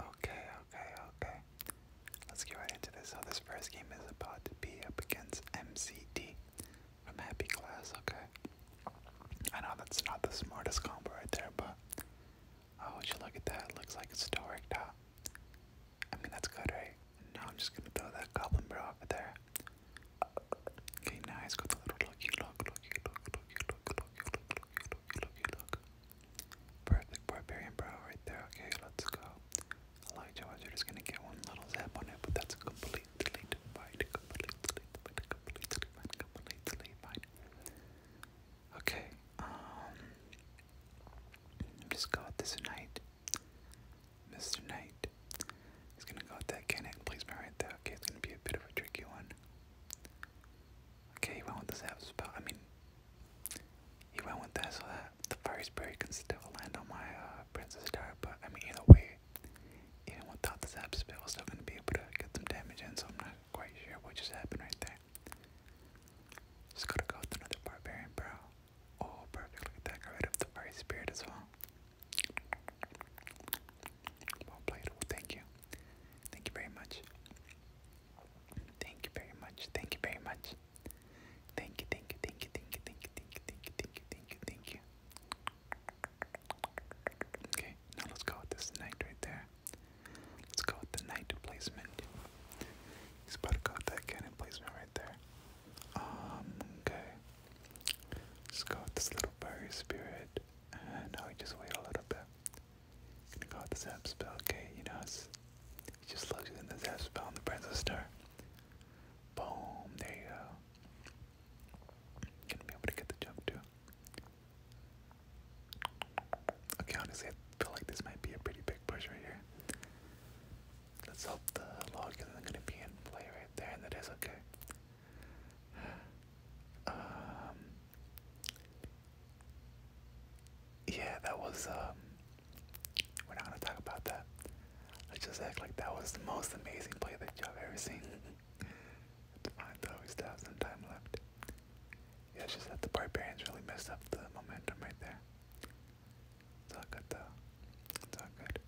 Okay, okay, okay. Let's get right into this. So this first game is about to be up against MCD from Happy Class, okay. I know that's not the smartest combo right there, but oh would you look at that? It looks like it's still worked out. I mean that's good, right? Now I'm just gonna throw that goblin bro over there. Okay, now he's got the little looky look, looky look, looky look, looky look, looky look, looky look, looky look. Perfect barbarian bro right there. Okay, let's go. I like Jawas, you're just gonna get one little zap on it, but that's completely fine. Completely fine. Completely fine. Completely fine. Okay, um, just go with this knight. Mr. Knight. He's gonna go with that cannon placement right there. Okay, it's gonna be a bit of a tricky one. Okay, he went with the zap spell. I mean, he went with that so that the fire spirit can still land on my uh, princess star. But I mean, either way, even without the zap spell, I'm still gonna be able to get some damage in. So I'm not quite sure what just happened right there. Just gotta go with another barbarian, bro. Oh, perfect! Look at that. Got rid of the fire spirit as well. Well played. thank you. Thank you very much. Thank you very much. Thank you very much. Thank you, thank you, thank you, thank you, thank you, thank you, thank you, thank you, Okay, now let's go with this knight right there. Let's go with the knight placement. He's about to go with that cannon placement right there. Um, okay. Let's go with this little fiery spirit now we just wait a little bit. Gonna call the zap spell, okay? You know, it's, just loves in the zap spell on the Princess Star. Boom, there you go. Gonna be able to get the jump too. Okay, honestly, I feel like this might be a pretty big push right here. Let's hope the log isn't gonna be in play right there, and that is okay. Um, yeah, that was. Um, we're not gonna talk about that. let just act like that was the most amazing play that you have ever seen. Divine throw, we still time left. Yeah, just that the barbarians really messed up the momentum right there. It's all good though. It's all good.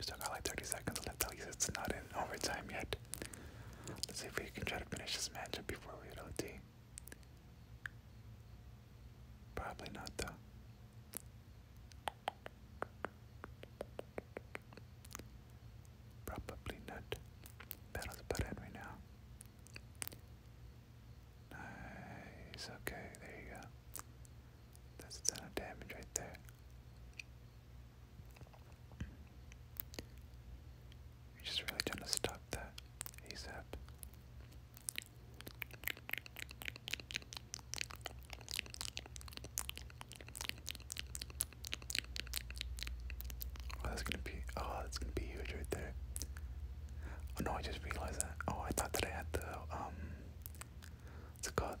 Still got like 30 seconds left. At least it's not in overtime yet. Let's see if we can try to finish this matchup before we hit OT. Probably not though. Probably not. Battle's about in right now. Nice. Okay, there you go. That's a ton of damage right there. You're just really trying to stop that ASAP. Oh, that's gonna be oh, that's gonna be huge right there. Oh no, I just realized that. Oh, I thought that I had the um, what's it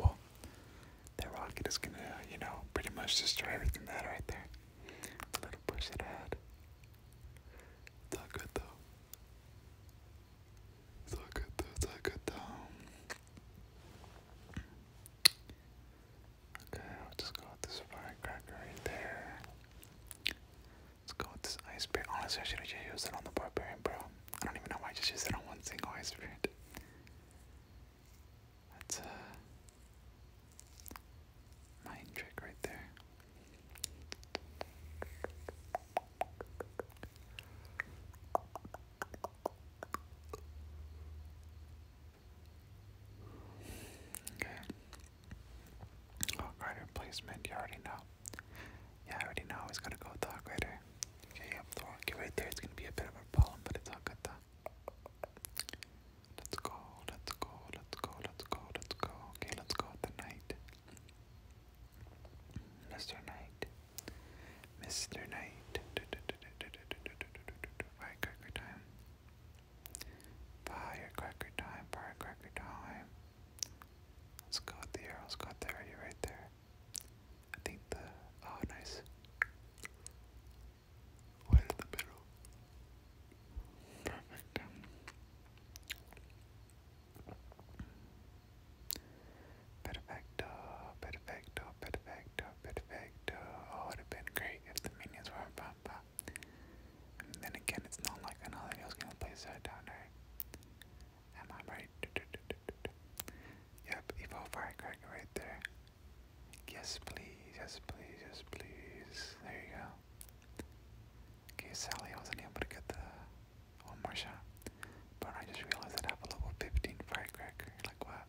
Well, that rocket is gonna, you know, pretty much destroy everything that right there. A little push it out. It's good though. It's good though. It's good though. Okay, I'll just go with this firecracker right there. Let's go with this ice bear. Honestly, I should just used it on the barbarian, bro. I don't even know why I just used it on one single ice spirit. That's a uh, trick right there. Okay. Oh, replacement, you already know. Yeah, I already know he's gonna go with Dark Raider. Okay, up the rocky right there. It's gonna be a bit of a problem, but it's all good though. Let's go, let's go, let's go, let's go, let's go. Okay, let's go with the knight. Mr. Knight. Mr. Knight. Firecracker time. Firecracker time, firecracker time. Let's go with the arrows. Got there already right there. I think the oh nice. Perfect. Perfecto, perfecto, perfecto, perfecto. Oh, it great if the minions were on Pampa. then again, it's not like another Am I right? Yep, Evolve Firecracker right there. Yes, please. Yes, please. Yes, please. There you go. Okay, Sally, I wasn't able to get the one more shot. But I just realized that I have a level 15 Firecracker. Like, what?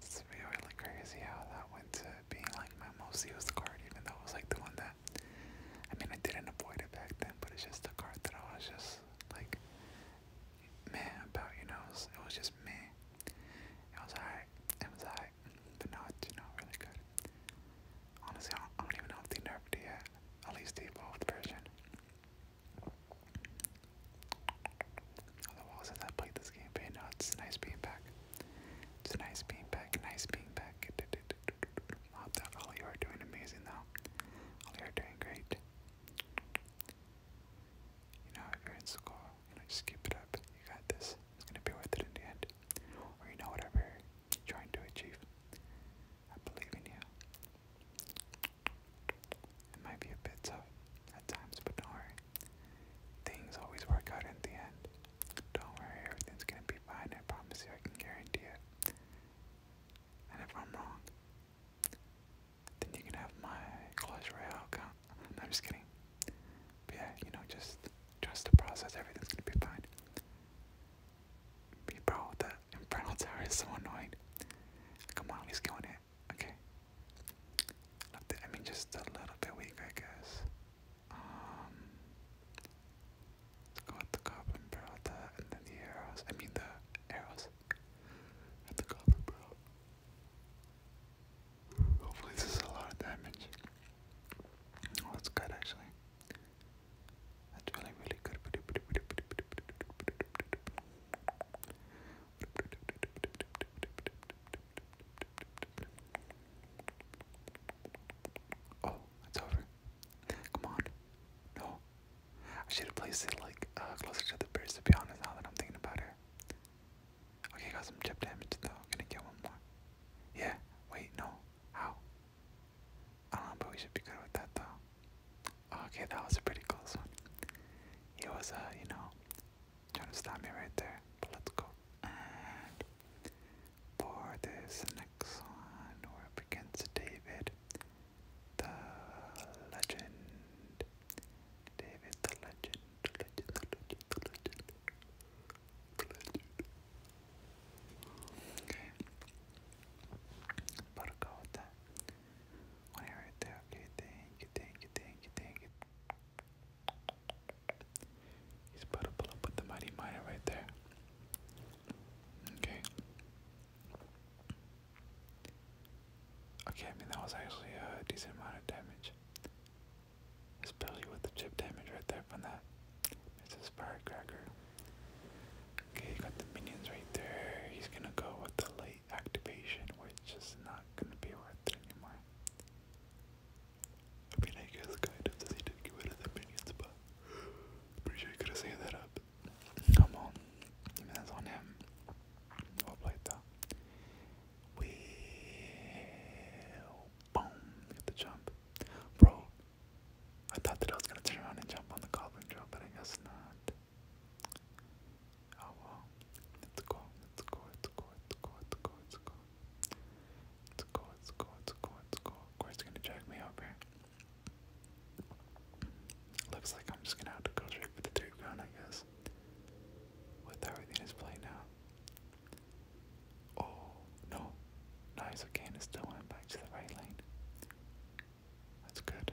It's really like crazy how that went to being like my most used card, even though it was like the one that I mean, I didn't avoid it back then, but it's just a card that I was just like, man, about you know, it was, just me. It was alright, it was alright, but now it's you know really good. Honestly, I don't, even know if they nerfed it yet. At least the evolved version. Oh, since I played this game, but you it's nice being back. It's nice being back, nice being back. Love that, all you are doing amazing though. All oh, you are doing great. You know, if you're in school, just keep it up. You got this. It's gonna be worth it in the end. Or you know, whatever you're trying to achieve. I believe in you. It might be a bit tough at times, but don't worry. Things always work out in the end. Don't worry, everything's gonna be fine. I promise you, I can guarantee it. And if I'm wrong, then you can have my Clash account. I'm just kidding. But yeah, you know, just trust the process. Everything's gonna be fine. bro, the Infernal Tower is so annoying. Come on, he's going it. Okay. I mean, just a little bit weak, I guess. Um, let's the goblin barrel, and then the arrows. I mean the arrows at the goblin barrel. Hopefully this is a lot of damage. Oh, that's good actually. Oh, it's over. Come on. No. I should have placed it like uh, closer to the bridge to be honest now that I'm thinking about it. Okay, got some chip damage though. Gonna get one more. Yeah, wait, no. How? I don't know, but we should be good with that though. Okay, that was a pretty close one. It was, uh, you know, Trying to stop me right there. let's go. And for this next one, we're against David the Legend. David the Legend. Legend, the Legend, the Legend. The Legend. Okay. But go with that. right there. Okay, thank you, thank you, thank you, thank you. He's about up with the mighty Maya right there. Okay. Okay, I mean that was actually a decent amount of damage. Especially with the chip damage right there from that. It's a firecracker. Okay, got the minions right there. He's gonna go with the light activation, which is not gonna be worth it anymore. I mean, I guess kind of they did get rid of the minions, but pretty sure you could have saved that up. Come on, that's on him. Well though. We boom, get the jump, bro. I thought that I was gonna turn around and jump on the goblin drill, but I guess not. Oh well, let's go, let's go, let's go, let's go, let's go, let's go. Let's Of course, it's gonna drag me up Looks like I'm just gonna have to go straight for the third round, I guess. With everything is playing out. Oh no, nice. Okay, and it went back to the right lane. That's good.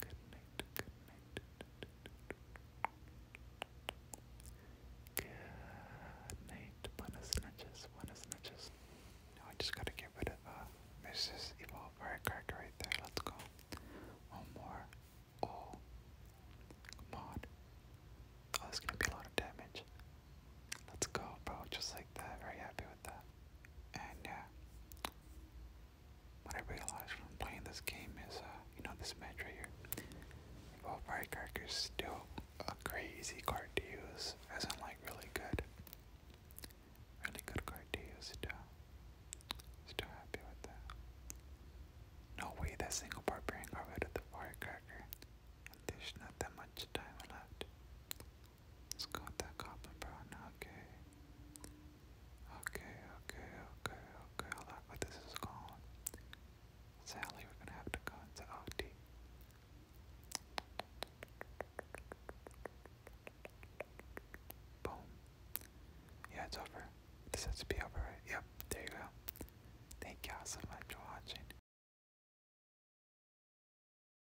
Good night. Good night. Good night. Buenas noches. Buenas noches. Now I just gotta get rid of uh, Mrs. Evolve Firecracker right there. Let's go. One more. Oh. Come on. Oh, that's gonna be a lot of damage. Let's go, bro. Just like that. Very happy with that. And yeah. What I realized from playing this game is, uh, you know, this match right here. Well, Firecracker is still a crazy card to use, as in, like, really good. Really good card to use, still. Still happy with that. No way that single barbarian got out of the Firecracker. there's not that much time left. Let's go with that goblin brown. Okay. Okay, okay, okay, okay. I like where this is going. Sally, we're gonna have to go into OT. Boom. Yeah, it's over. This has to be over, right? Yep, there you go. Thank y'all so much for watching.